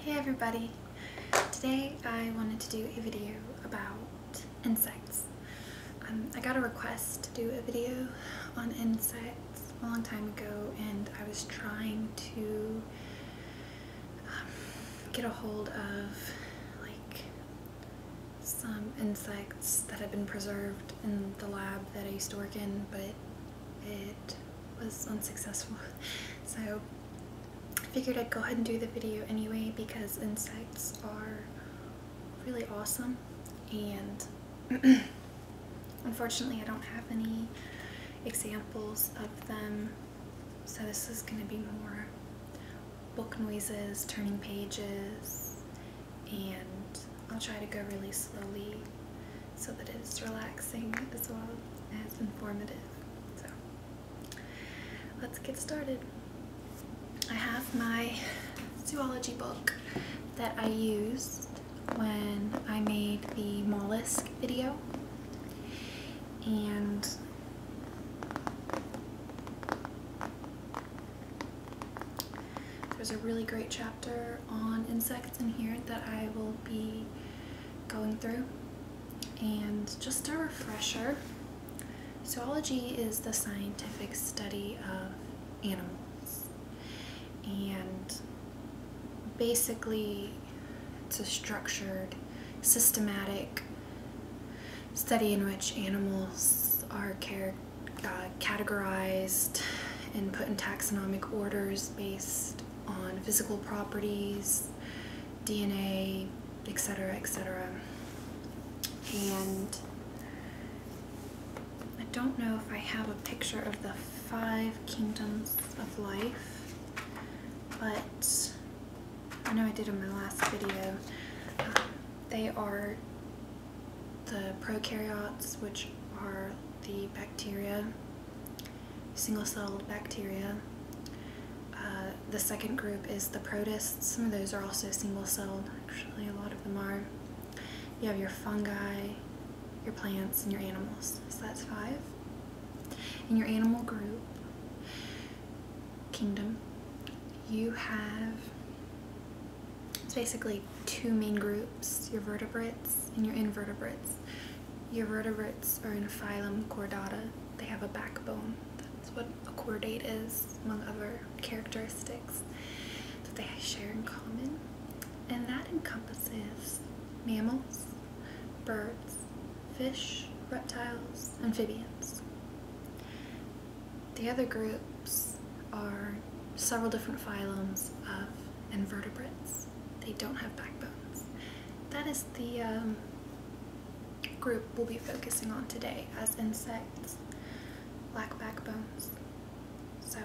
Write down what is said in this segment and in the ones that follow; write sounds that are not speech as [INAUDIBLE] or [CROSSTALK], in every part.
Hey everybody! Today I wanted to do a video about insects. Um, I got a request to do a video on insects a long time ago and I was trying to um, get a hold of like some insects that had been preserved in the lab that I used to work in but it was unsuccessful. [LAUGHS] So I figured I'd go ahead and do the video anyway because insects are really awesome and [CLEARS THROAT] unfortunately I don't have any examples of them so this is going to be more book noises, turning pages, and I'll try to go really slowly so that it's relaxing as well as informative. So let's get started. I have my zoology book that I used when I made the mollusk video and there's a really great chapter on insects in here that I will be going through. And just a refresher, zoology is the scientific study of animals. And basically, it's a structured, systematic study in which animals are uh, categorized and put in taxonomic orders based on physical properties, DNA, etc., etc. And I don't know if I have a picture of the five kingdoms of life, but I know I did in my last video. they are the prokaryotes, which are the bacteria single-celled bacteria. Uh, the second group is the protists. Some of those are also single-celled. Actually, a lot of them are. You have your fungi, your plants, and your animals. So that's five. In your animal group, kingdom, you have it's basically two main groups, your vertebrates and your invertebrates. Vertebrates are in phylum Chordata. They have a backbone. That's what a chordate is, among other characteristics that they share in common. And that encompasses mammals, birds, fish, reptiles, amphibians. The other groups are several different phyla of invertebrates. They don't have backbone. That is the um, group we'll be focusing on today as insects, black backbones. So,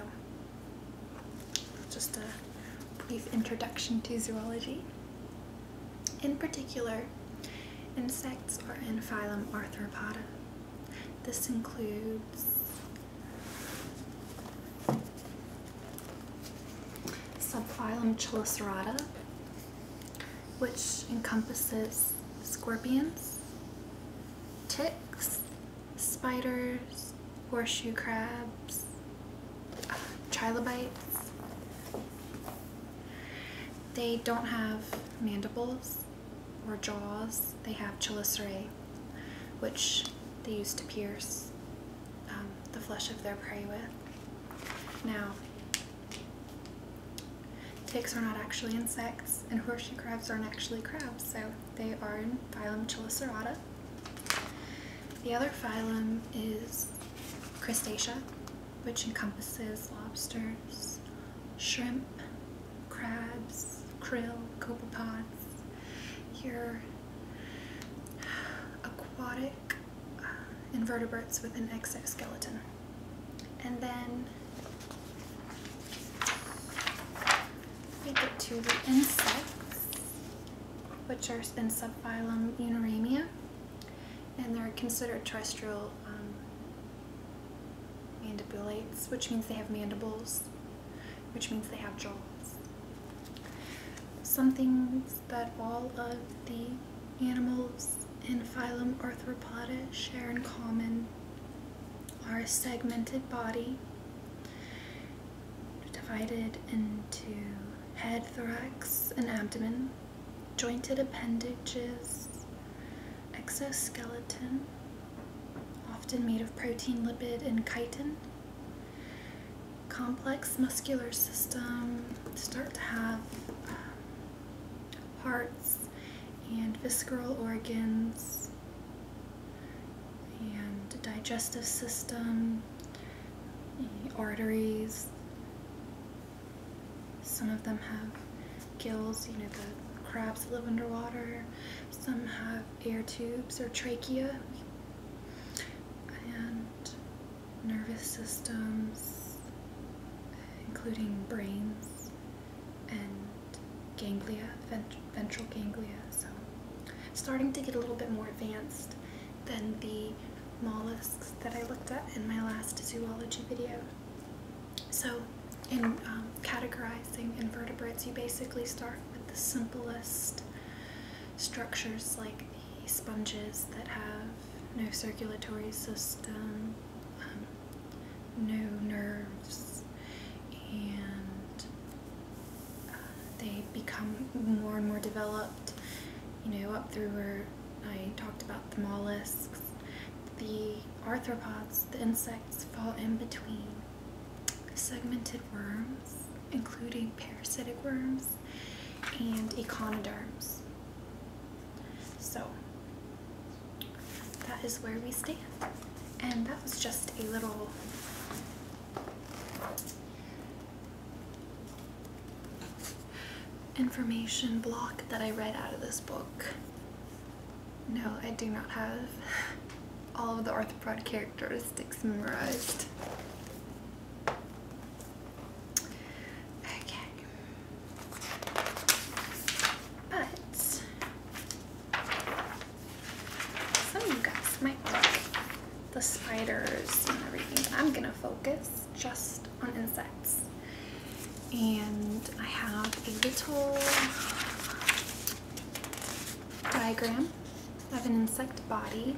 just a brief introduction to zoology. In particular, insects are in phylum Arthropoda. This includes Subphylum Chelicerata, which encompasses scorpions, ticks, spiders, horseshoe crabs, uh, trilobites. They don't have mandibles or jaws, they have chelicerae, which they use to pierce. Um, the flesh of their prey with. Now, ticks are not actually insects, and horseshoe crabs aren't actually crabs, so they are in phylum Chelicerata. The other phylum is Crustacea, which encompasses lobsters, shrimp, crabs, krill, copepods, Here aquatic uh, invertebrates with an exoskeleton. And then we get to the insects, which are in subphylum Uniremia, and they're considered terrestrial um, mandibulates, which means they have mandibles which means they have jaws. Some things that all of the animals in phylum Arthropoda share in common are a segmented body divided into head, thorax, and abdomen, jointed appendages, exoskeleton, often made of protein, lipid, and chitin, complex muscular system start to have um, hearts and visceral organs and digestive system, arteries. Some of them have gills, you know, the crabs live underwater. Some have air tubes or trachea and nervous systems, including brains and ganglia, ventral ganglia. So, starting to get a little bit more advanced than the mollusks that I looked at in my last zoology video. So, in um, categorizing invertebrates, you basically start with the simplest structures like sponges that have no circulatory system, um, no nerves, and uh, they become more and more developed, you know, up through where I talked about the mollusks. The arthropods, the insects, fall in between segmented worms, including parasitic worms and echinoderms. So that is where we stand. And that was just a little information block that I read out of this book. No, I do not have all of the arthropod characteristics memorized. Okay. But some of you guys might like the spiders and everything, but I'm gonna focus just on insects. And I have a little diagram of an insect body.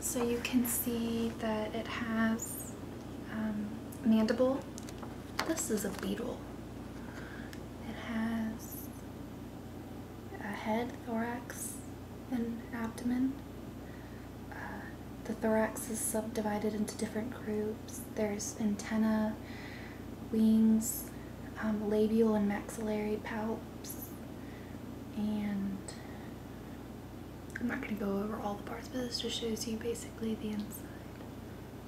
So you can see that it has um, mandible. This is a beetle. It has a head, thorax, and abdomen. Uh, the thorax is subdivided into different groups. There's antennae, wings, um, labial and maxillary palps and I'm not going to go over all the parts but this just shows you basically the inside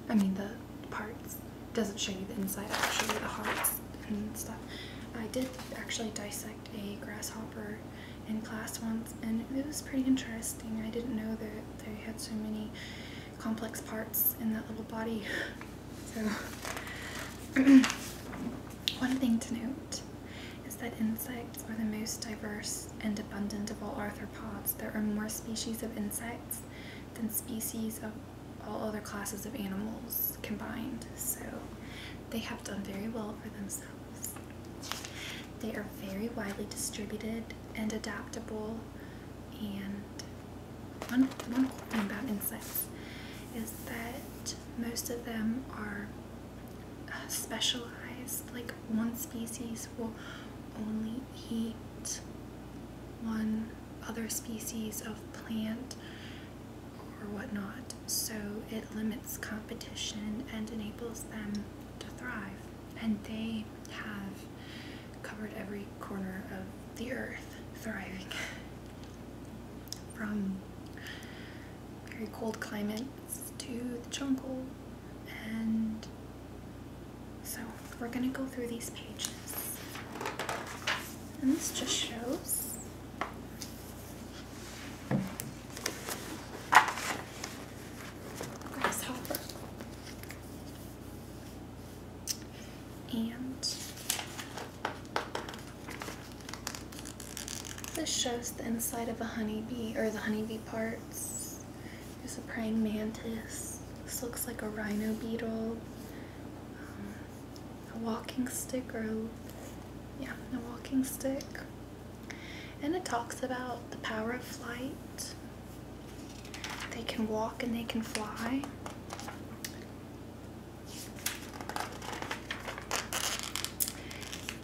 I mean the parts doesn't show you the inside I show you the hearts and stuff I did actually dissect a grasshopper in class once and it was pretty interesting I didn't know that they had so many complex parts in that little body [LAUGHS] So, [CLEARS THROAT] one thing to note is that insects are the most diverse and abundant of all arthropods. There are more species of insects than species of all other classes of animals combined, so they have done very well for themselves. They are very widely distributed and adaptable and one, one thing about insects is that most of them are uh, specialized. Like one species will only eat one other species of plant or whatnot, so it limits competition and enables them to thrive. And they have covered every corner of the earth, thriving. From very cold climates to the jungle, and so we're gonna go through these pages. And this just shows grasshopper. And this shows the inside of a honeybee, or the honeybee parts. There's a praying mantis. This looks like a rhino beetle. Um, a walking stick, or yeah, a walking stick. And it talks about the power of flight. They can walk and they can fly.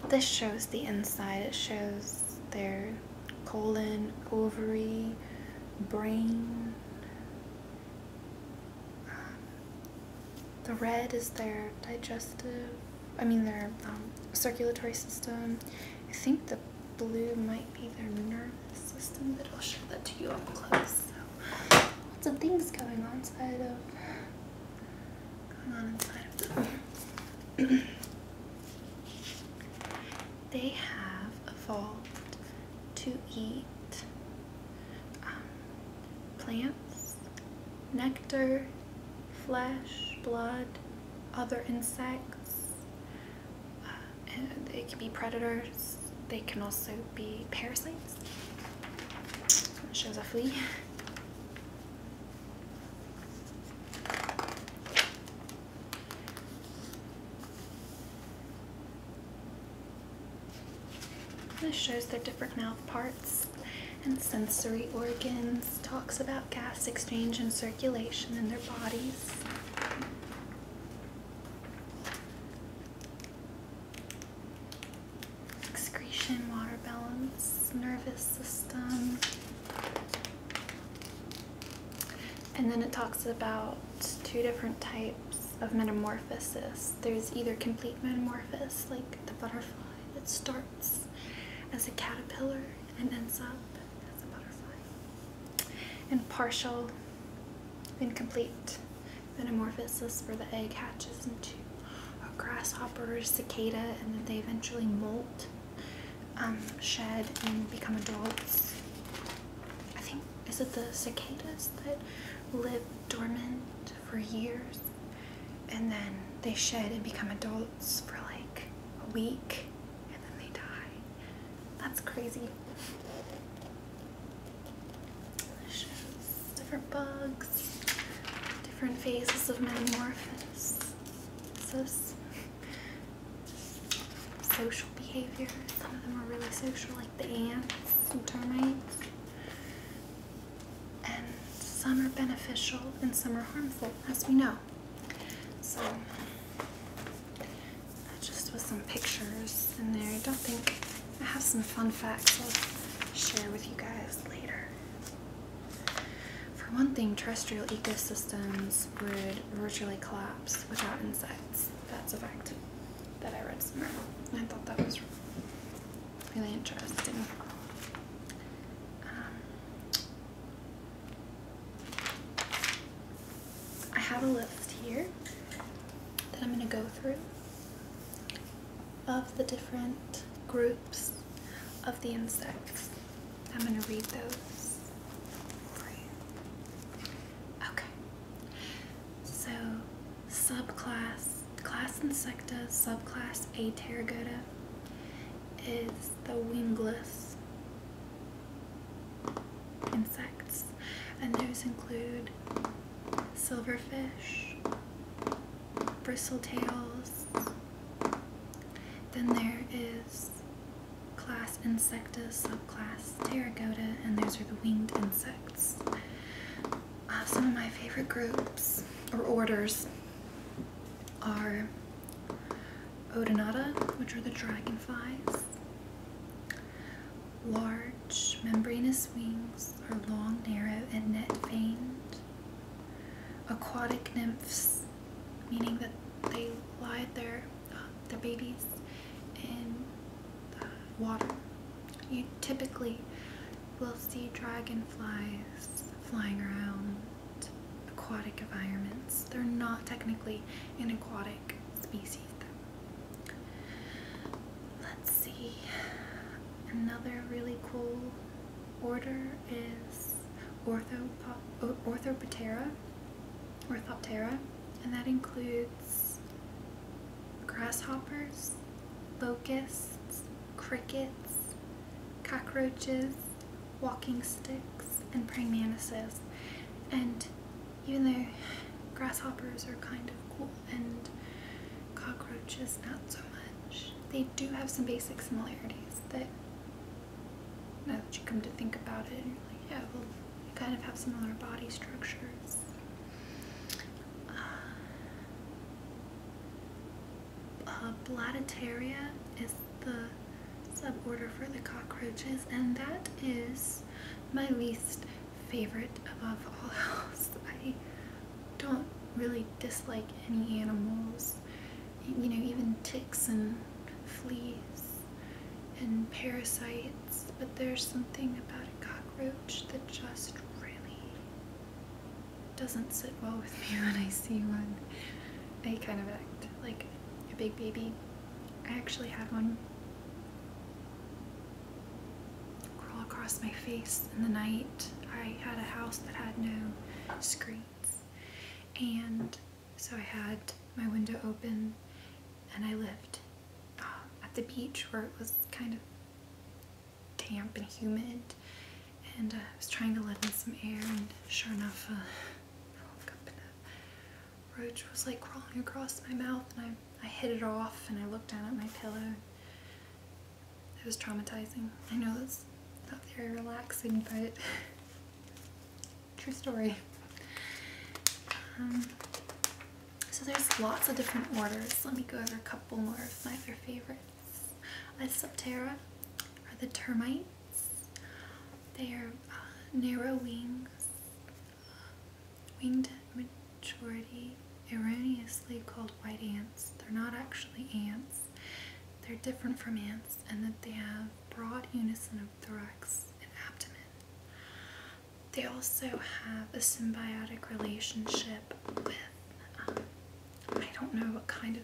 This shows the inside. It shows their colon, ovary, brain. Um, the red is their digestive, I mean, their um, circulatory system. I think the blue might be their nerve the system that will show that to you up close. So lots of things going on inside of going on inside of them. [CLEARS THROAT] they have evolved to eat um, plants, nectar, flesh, blood, other insects, uh, they can be predators. They can also be parasites. shows a flea. This shows their different mouth parts and sensory organs, talks about gas exchange and circulation in their bodies excretion, water balance, nervous system. And then it talks about two different types of metamorphosis. There's either complete metamorphosis, like the butterfly that starts as a caterpillar and ends up as a butterfly and partial, incomplete. metamorphosis, where the egg hatches into a grasshopper, cicada, and then they eventually molt, um, shed, and become adults. I think, is it the cicadas that live dormant for years? And then they shed and become adults for like a week, and then they die. That's crazy. different bugs, different phases of metamorphosis, social behavior. Some of them are really social, like the ants and termites. And some are beneficial and some are harmful, as we know. So just with some pictures in there. I don't think I have some fun facts I'll share with you guys later. For one thing, terrestrial ecosystems would virtually collapse without insects. That's a fact that I read somewhere. I thought that was really interesting. Um, I have a list here that I'm going to go through of the different groups of the insects. I'm going to read those for you. Okay. So, subclass, class Insecta, subclass Atergoda is the wingless insects, and those include silverfish, bristletails. Then there is class Insecta, subclass Teragota, and those are the winged insects. Uh, some of my favorite groups or orders are Odonata, which are the dragonflies, Large membranous wings are long, narrow, and net veined. Aquatic nymphs, meaning that they lie their, uh, their babies in the water. You typically will see dragonflies flying around aquatic environments. They're not technically an aquatic species Let's see. Another really cool order is Orthopop Orthoptera, Orthoptera, and that includes grasshoppers, locusts, crickets, cockroaches, walking sticks, and praying mantises. And even though grasshoppers are kind of cool and cockroaches not so much, they do have some basic similarities that now that you come to think about it, like, yeah, well, they kind of have similar body structures. Uh, uh is the suborder for the cockroaches, and that is my least favorite above all else. [LAUGHS] I don't really dislike any animals. You know, even ticks and fleas and parasites, but there's something about a cockroach that just really doesn't sit well with me [LAUGHS] when I see one. I kind of act like a big baby I actually had one crawl across my face in the night. I had a house that had no screens, and so I had my window open, and I lived um, at the beach where it was kind of damp and humid. And uh, I was trying to let in some air, and sure enough, uh, [LAUGHS] up in a roach was like crawling across my mouth and I, I hit it off and I looked down at my pillow. It was traumatizing. I know that's not very relaxing, but [LAUGHS] true story. Um, so there's lots of different orders. Let me go over a couple more of my other favorites. A Septera are the termites. They are uh, narrow wings. Winged at maturity, erroneously called white ants. They're not actually ants. They're different from ants in that they have broad unison of thorax and abdomen. They also have a symbiotic relationship with, um, I don't know what kind of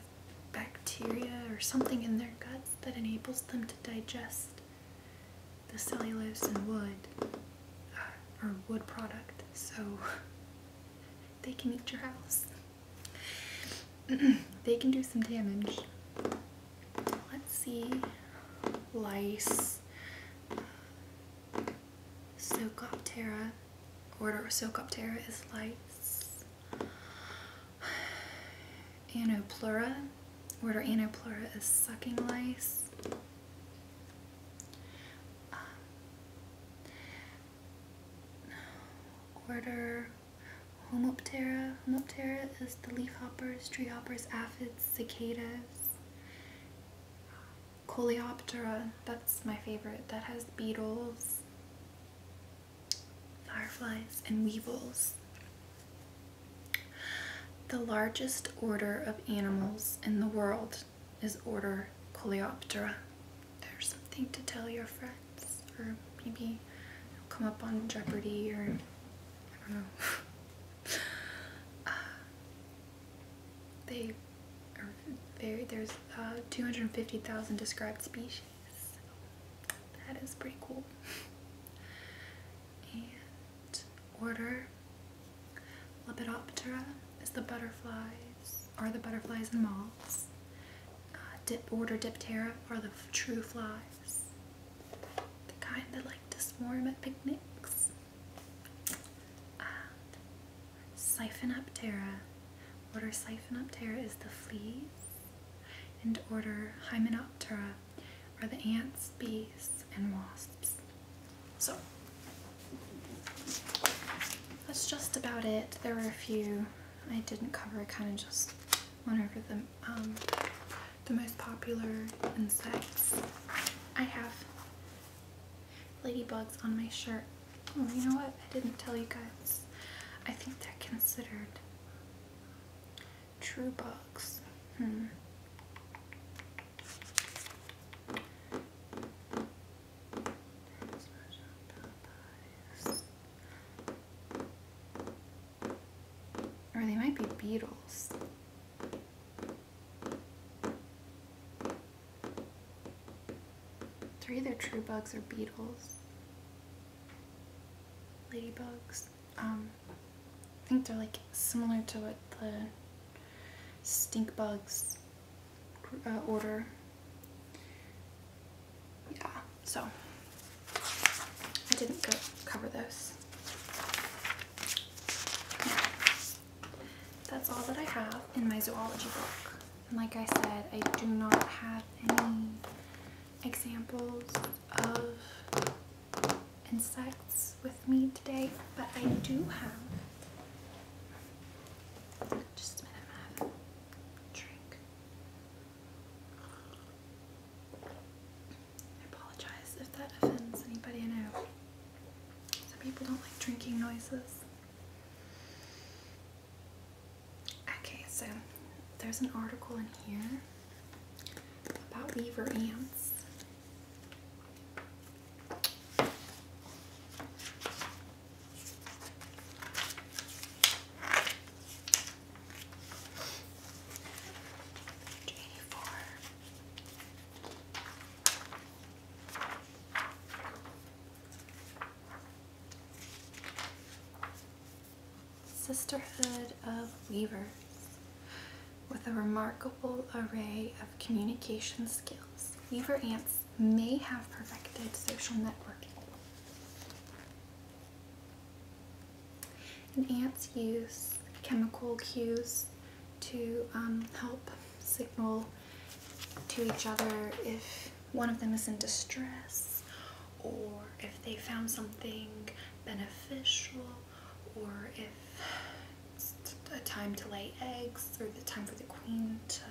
bacteria or something in their guts that enables them to digest the cellulose and wood are uh, wood product, so [LAUGHS] they can eat your house. [CLEARS THROAT] they can do some damage. Let's see. Lice. Socoptera. Order Socoptera is lice. Anoplura. Order Anoplura is sucking lice. Um, order Homoptera. Homoptera is the leafhoppers, tree hoppers, aphids, cicadas. Coleoptera, that's my favorite. That has beetles, fireflies, and weevils. The largest order of animals in the world is order Coleoptera. There's something to tell your friends or maybe come up on Jeopardy or I don't know. [LAUGHS] Uh, they very, there's uh, 250,000 described species. That is pretty cool order. Lepidoptera is the butterflies, or the butterflies and moths. Uh, order Diptera are the true flies, the kind that like to swarm at picnics. And Siphonoptera, order Siphonoptera is the fleas, and order Hymenoptera are the ants, bees, and wasps. So that's just about it. There were a few I didn't cover. I kind of just went over the, um, the most popular insects. I have ladybugs on my shirt. Oh, you know what? I didn't tell you guys. I think they're considered True bugs, hmm. Or they might be beetles. They're either true bugs or beetles. Ladybugs. Um, I think they're like similar to what the stink bugs uh, order. Yeah, so I didn't cover those. That's all that I have in my zoology book. And like I said, I do not have any examples of insects with me today, but I do have just a minute, I drink. I apologize if that offends anybody I know. Some people don't like drinking noises. Okay, so there's an article in here about beaver ants. Eighty four. Sisterhood of Weavers with a remarkable array of communication skills. Weaver ants may have perfected social networking. And ants use chemical cues to um, help signal to each other if one of them is in distress or if they found something beneficial, or if it's a time to lay eggs, or the time for the queen to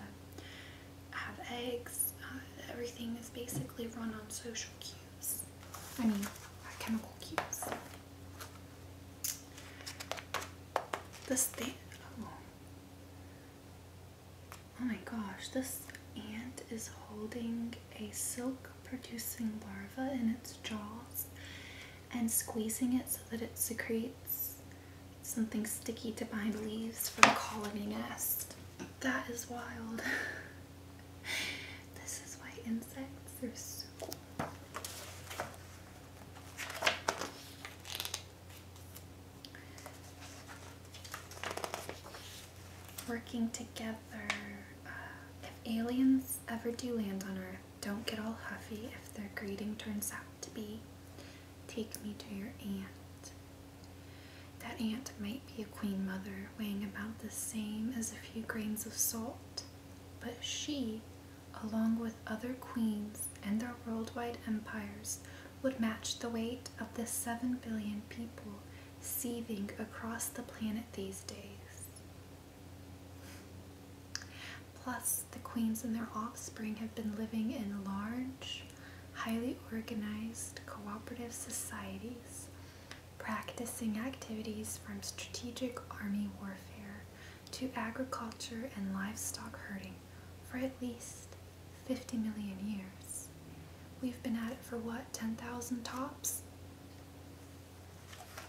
have eggs. Uh, everything is basically run on social cues. I mean, uh, chemical cues. This thing. Oh. oh my gosh, this ant is holding a silk producing larva in its jaws and squeezing it so that it secretes something sticky to bind leaves for the colony nest. That is wild. [LAUGHS] this is why insects are so cool working together. Uh, if aliens ever do land on Earth, don't get all huffy if their greeting turns out to be, Take me to your aunt. That aunt might be a queen mother weighing about the same as a few grains of salt, but she, along with other queens and their worldwide empires, would match the weight of the 7 billion people seething across the planet these days. Plus, the queens and their offspring have been living in large, highly organized, cooperative societies, practicing activities from strategic army warfare to agriculture and livestock herding for at least 50 million years. We've been at it for what, 10,000 tops?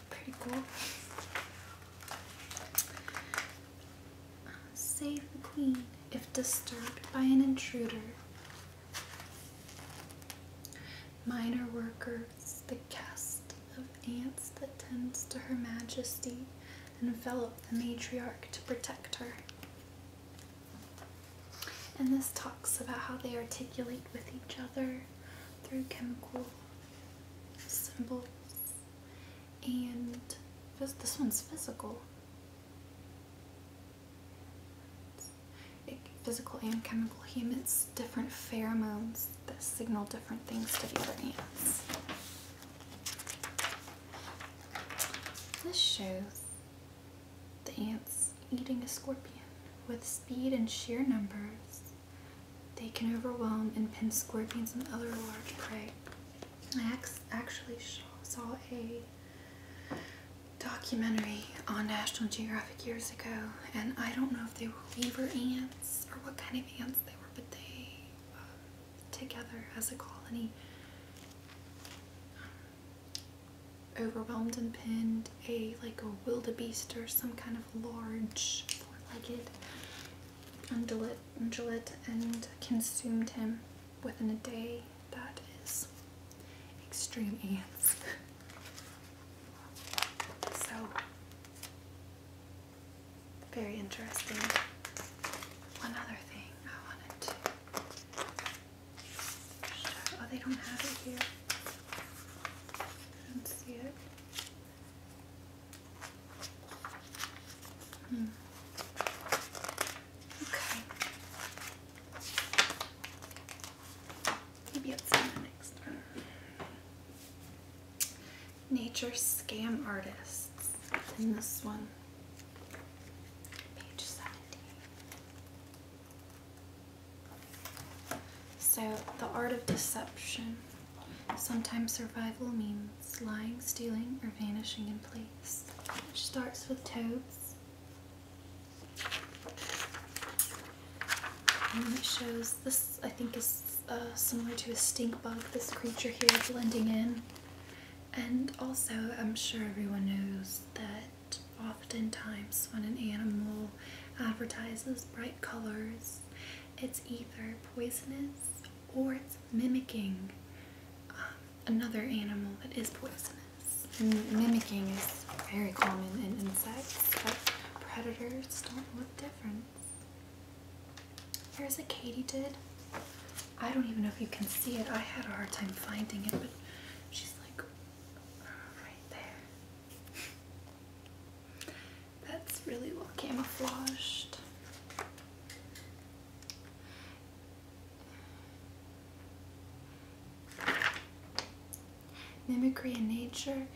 Pretty cool. save the queen if disturbed by an intruder. Minor workers, the cast of ants that tends to her majesty, envelop the matriarch to protect her. And this talks about how they articulate with each other through chemical symbols. And this one's physical. physical and chemical humans emits different pheromones that signal different things to the other ants. This shows the ants eating a scorpion. With speed and sheer numbers, they can overwhelm and pin scorpions and other large prey. I actually saw a documentary on National Geographic years ago, and I don't know if they were weaver ants or what kind of ants they were, but they uh, together as a colony overwhelmed and pinned a like a wildebeest or some kind of large four-legged undulate, undulate and consumed him within a day. That is extreme ants. [LAUGHS] so very interesting. One other thing I wanted to Oh, they don't have it here. I don't see it. Hmm. Okay. Maybe it's in the next one. Nature Scam Artists. In this one. Page 17. So, the art of deception. Sometimes survival means lying, stealing, or vanishing in place, which starts with toads. And it shows this, I think, is uh, similar to a stink bug, this creature here blending in. And also, I'm sure everyone knows that Oftentimes, when an animal advertises bright colors, it's either poisonous or it's mimicking um, another animal that is poisonous. mimicking is very common in insects, but predators don't know the difference. Here's a katydid. I don't even know if you can see it. I had a hard time finding it, but she's like right there. That's really well camouflaged. Mimicry in nature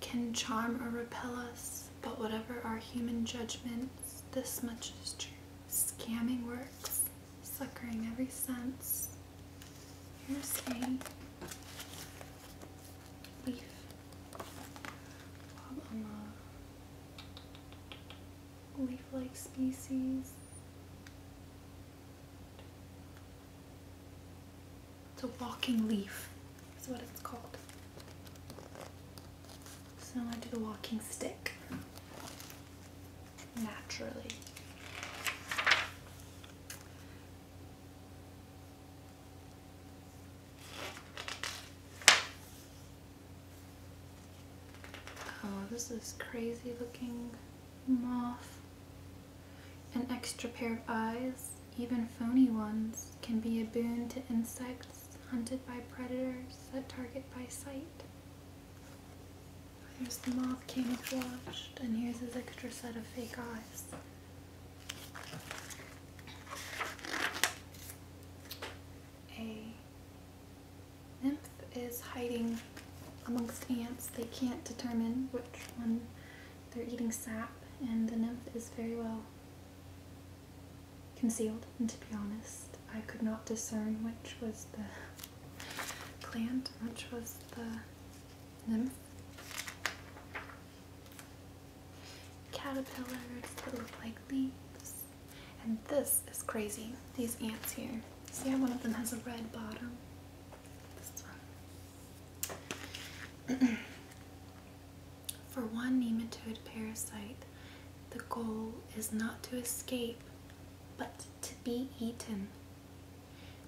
can charm or repel us, but whatever our human judgments, this much is true. Scamming works suckering every sense. Here's a leaf on the leaf-like species. It's a walking leaf is what it's called. So now I did a walking stick naturally. Oh, this is crazy looking moth. An extra pair of eyes, even phony ones, can be a boon to insects hunted by predators that target by sight. There's the mob camouflaged, and here's his extra set of fake eyes. A nymph is hiding amongst ants. They can't determine which one they're eating sap, and the nymph is very well concealed. And to be honest, I could not discern which was the Plant, which was the nymph. Caterpillars that look like leaves. And this is crazy, these ants here. See how one of them has a red bottom? [CLEARS THROAT] For one nematode parasite, the goal is not to escape, but to be eaten.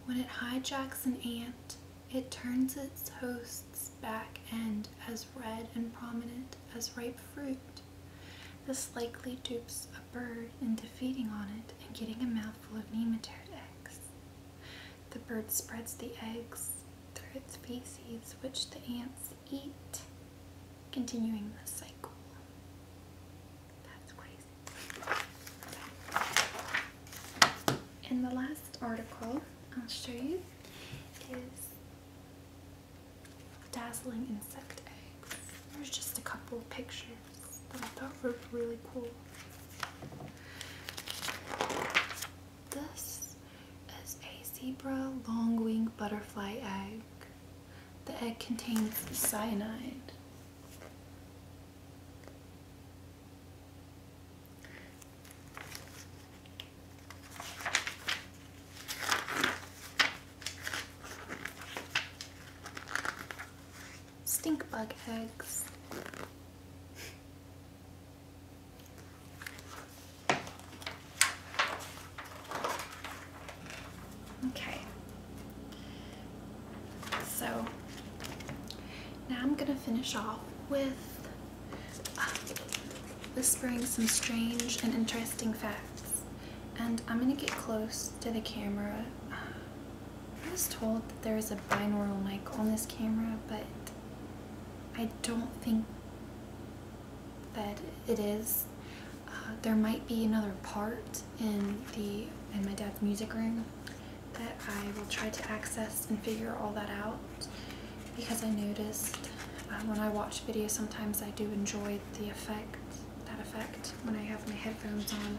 When it hijacks an ant, it turns its host's back end as red and prominent as ripe fruit. This likely dupes a bird into feeding on it and getting a mouthful of nematode eggs. The bird spreads the eggs through its feces, which the ants eat, continuing the cycle. That's crazy. And the last article I'll show you is Dazzling Insect Eggs. There's just a couple of pictures that I thought were really cool. This is a zebra long-winged butterfly egg. The egg contains cyanide, Stink bug eggs. Okay. So now I'm going to finish off with uh, whispering some strange and interesting facts. And I'm going to get close to the camera. Uh, I was told that there is a binaural mic on this camera, but I don't think that it is. Uh, there might be another part in the in my dad's music room that I will try to access and figure all that out because I noticed uh, when I watch videos sometimes I do enjoy the effect, that effect when I have my headphones on.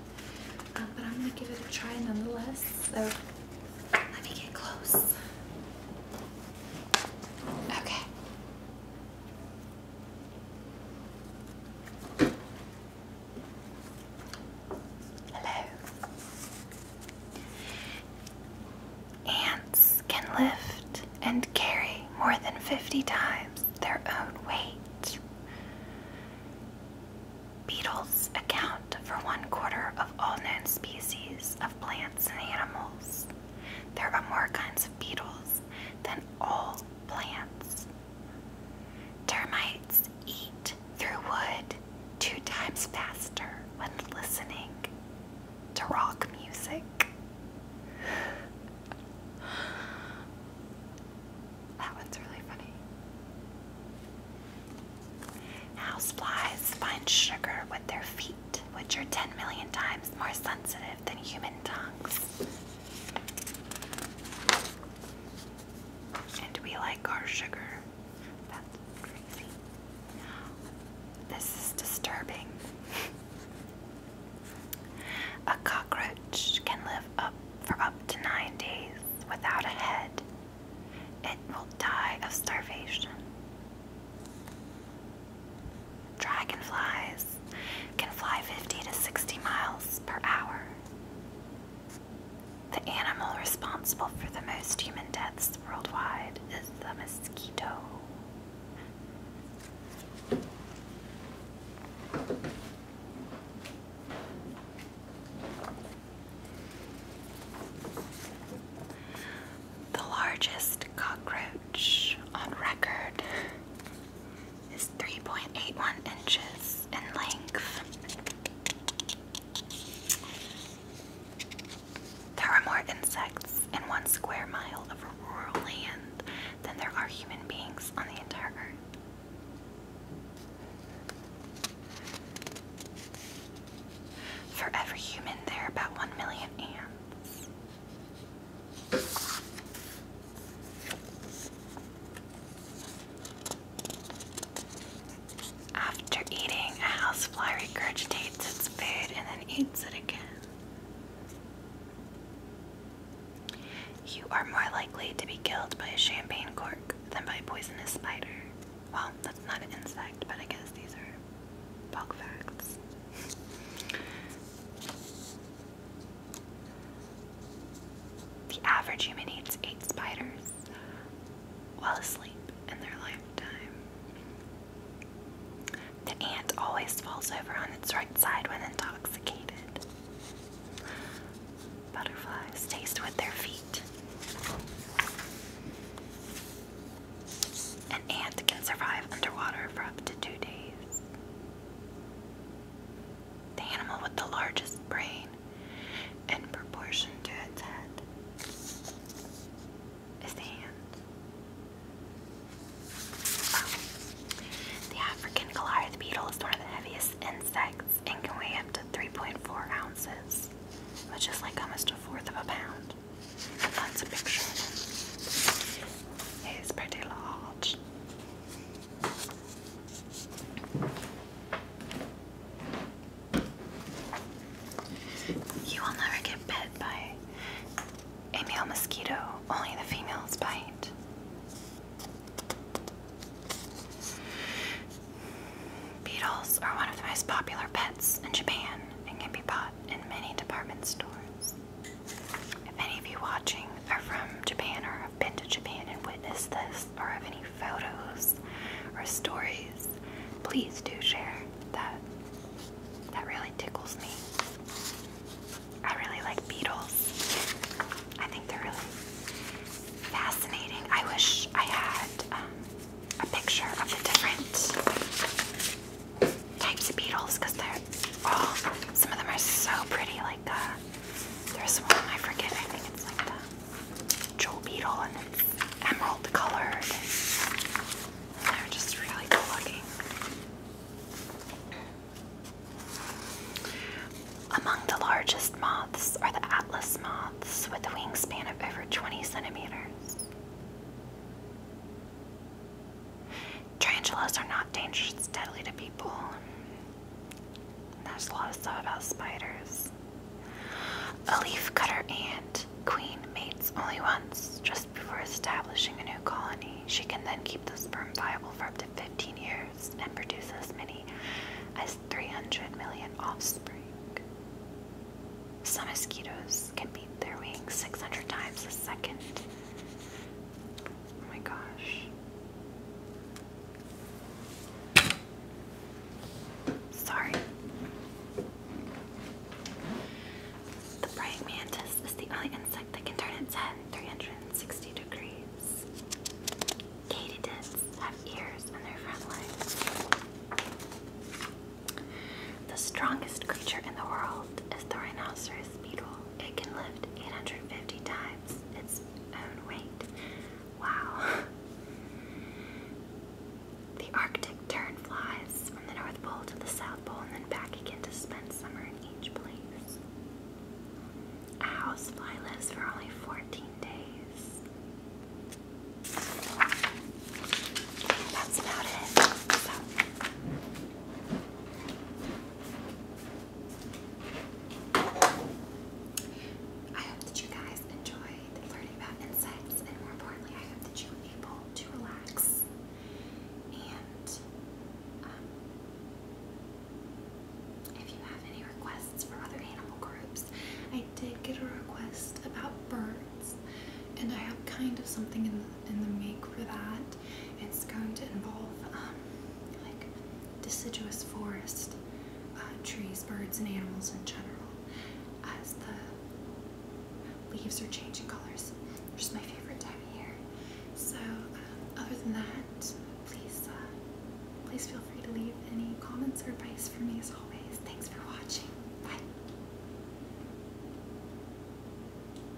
Um, but I'm going to give it a try nonetheless. So let me get close. Okay. Hello. Ants can lift and carry more than 50 times their own weight. Beetles account for one quarter of all known species of plants and animals. There are more kinds of beetles than all plants. Termites eat through wood two times faster when listening to rock music. That one's really funny. Houseflies find sugar with their feet, which are 10 million times more sensitive than human tongues. And we like our sugar. That's crazy. This is disturbing. [LAUGHS] a cockroach can live up for up to nine days without a head. It will die of starvation. Dragonflies can fly 50 to 60 miles per hour. The animal responsible for the most human deaths worldwide is the mosquito. The largest cockroach on record is 3.81 inches in length. There are more insects in one square mile of rural land than there are human beings on the entire earth. For every human, there are about 1 million ants. After eating, a housefly regurgitates its food and then eats it again. You are more likely to be killed by a champagne cork than by a poisonous spider. Well, that's not an insect, but I guess these are bug facts. The average human eats eight spiders while asleep in their lifetime. The ant always falls over on its right side when intoxicated. Butterflies taste with their feet. An ant can survive underwater for up to two days the animal with the largest brain in proportion to its head is the hand. Um, the African Goliath beetle is one of the heaviest insects and can weigh up to 3.4 ounces, which is like almost a fourth of a pound. That's a picture It's pretty large. You will never get bit by a male mosquito, only the females bite. Beetles are one of the most popular pets in Japan and can be bought in many department stores. If any of you watching are from Japan or have been to Japan and witnessed this, or have any photos or stories, please do share that. That really tickles me. I really like beetles. I think they're really fascinating. I wish I had um, a picture of the different types of beetles because they're all, some of them are so pretty. Like the, uh, there's one I forget, I think it's like the jewel beetle and it's emerald colored. And they're just really cool looking. Among the largest moths are the atlas moths with a wingspan of over 20 centimeters. Tarantulas are not dangerous deadly to people. There's a lot of stuff about spiders. A leaf cutter ant queen mates only once just before establishing a new colony. She can then keep the sperm viable for up to 15 years and produce as many as 300 million offspring. Some mosquitoes can beat their wings 600 times a second. Oh my gosh. Sorry. The praying mantis is the only insect that can turn its head 360 degrees. Katydids have ears on their front legs. The strongest creature in the world is the rhinoceros beetle it can lift 850 times its own weight. Wow. [LAUGHS] The Arctic tern flies from the North Pole to the South Pole and then back again to spend summer in each place. A housefly lives for only 14 days. That's about it. I hope that you guys enjoyed learning about insects, and more importantly, I hope that you were able to relax and. Um, if you have any requests for other animal groups, I did get a request about birds, and I have kind of something in the, in the make for that. It's going to involve um, like deciduous forest, uh, trees, birds, and animals in general. As the leaves are changing colors, which is my favorite time of year. So, uh, other than that, please, uh, please feel free to leave any comments or advice for me as always. Thanks for watching. Bye.